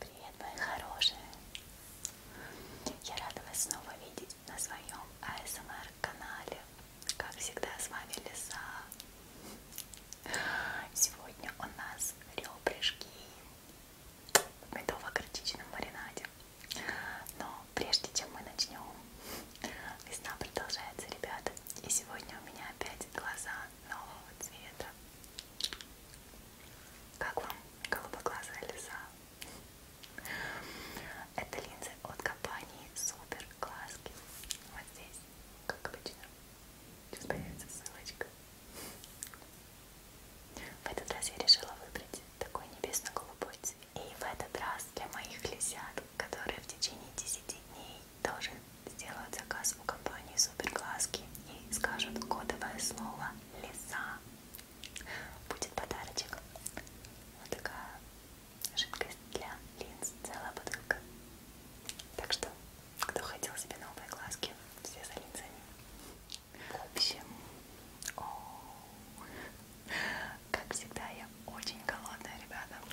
Привет, мои хорошие! Я рада вас снова видеть на своем ASMR-канале. Как всегда, с вами Лиса. Сегодня у нас ребрышки в медово-горчичном маринаде. Но прежде чем мы начнем, весна продолжается, ребята. И сегодня у меня опять глаза нового цвета. Как вам голубоглазая лиза? Это линзы от компании Супер Глазки. Вот здесь, как обычно. Сейчас появится ссылочка. В этот раз я решила выбрать такой небесно-голубой цвет. И в этот раз для моих лисят, которые в течение 10 дней тоже сделают заказ у компании Суперглазки и скажут кодовое слово «Лиса», будет подарочек. Вот такая жидкость для линз, целая бутылка. Так что, кто хотел себе новые глазки, все за линзами. В общем, о -о -о. Как всегда, я очень голодная, ребята. У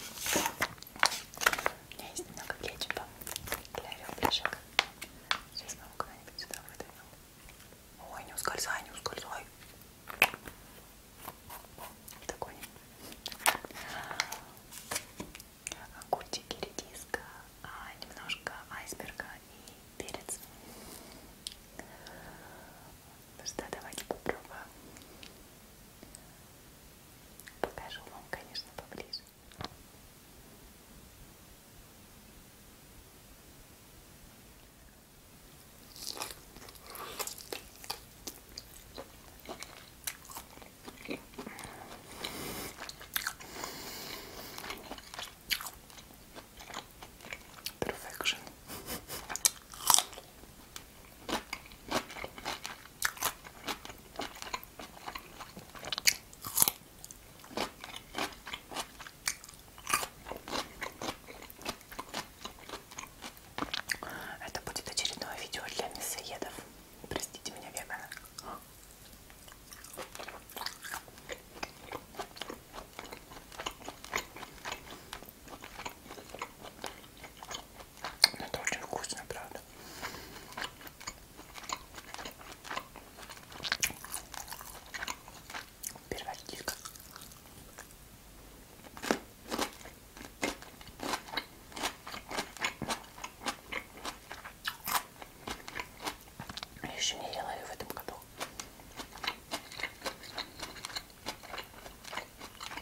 меня есть немного кетчупа для ребрышек. Сейчас маму куда-нибудь сюда выдвину. Ой, не ускользай, не ускользай. Такой. Огурчики, редиска, а, немножко айсберга и перец. Ну что, давайте попробуем. Покажу вам, конечно, поближе. Perfection. Это будет очередное видео для мясоедов. Простите меня, вегана. Но ну, это очень вкусно, правда. Первотик. Я еще не ела ее в этом году.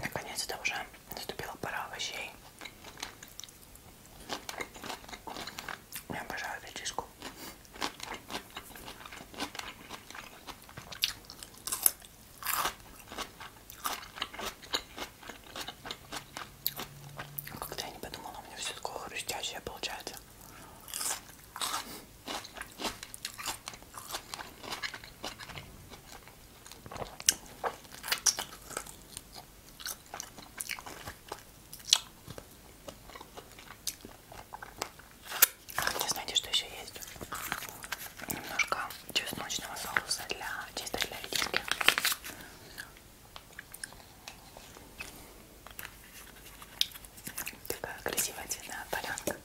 Наконец это уже наступила пора овощей. Я обожаю редиску. Как-то я не подумала, у меня все такое хрустящее получается. Хотя а, знаете, что еще есть? Немножко чесночного соуса для чисто для редиски. Такая красивая цветная полянка.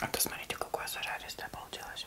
А посмотрите, какое зажаристое получилось.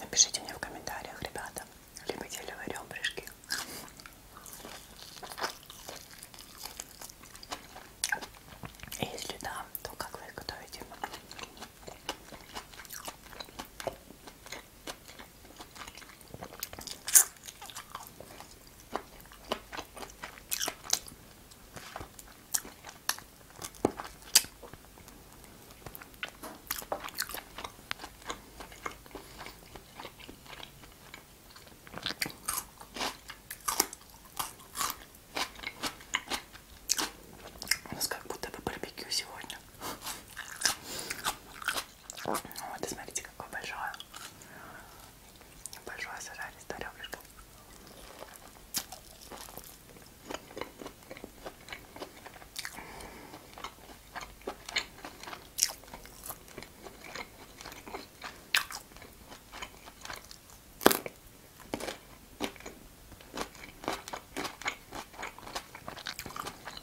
Напишите мне в комментариях, ребята, любите ли вы ребрышки. Если да, то как вы их готовите? У нас как будто бы барбекю сегодня. Вот, и смотрите, какое большое. Большое сажалистое ребрышко.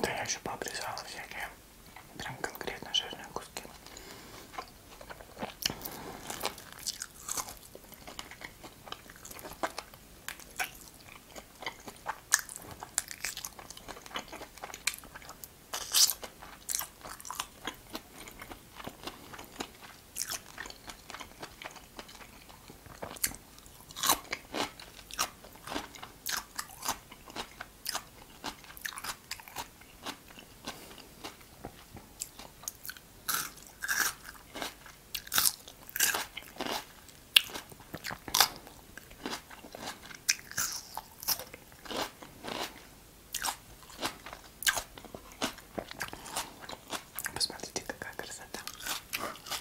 Да я еще пообрезала всякие прям конкретно жирные куски. Посмотрите, какая красота.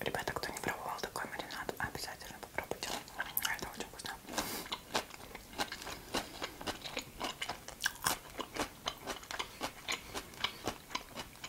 Ребята, кто не пробовал такой маринад, обязательно попробуйте. А это очень вкусно.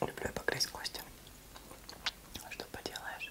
Люблю погрызть кости. Ну, что поделаешь?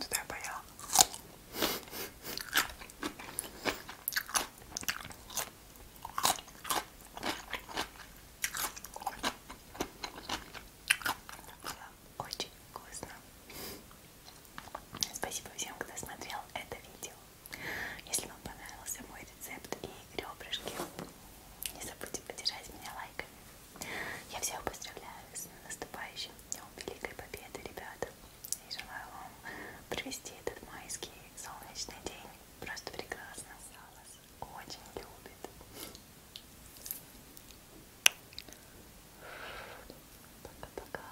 Что я поела? Очень вкусно. Спасибо всем, кто смотрел это видео. Если вам понравился мой рецепт и ребрышки, не забудьте поддержать меня лайками. Я всех поздравляю с наступающим Днем Великой Победы, ребята. И желаю вам провести этот майский солнечный день. Просто прекрасно. Я вас очень любит. Пока-пока.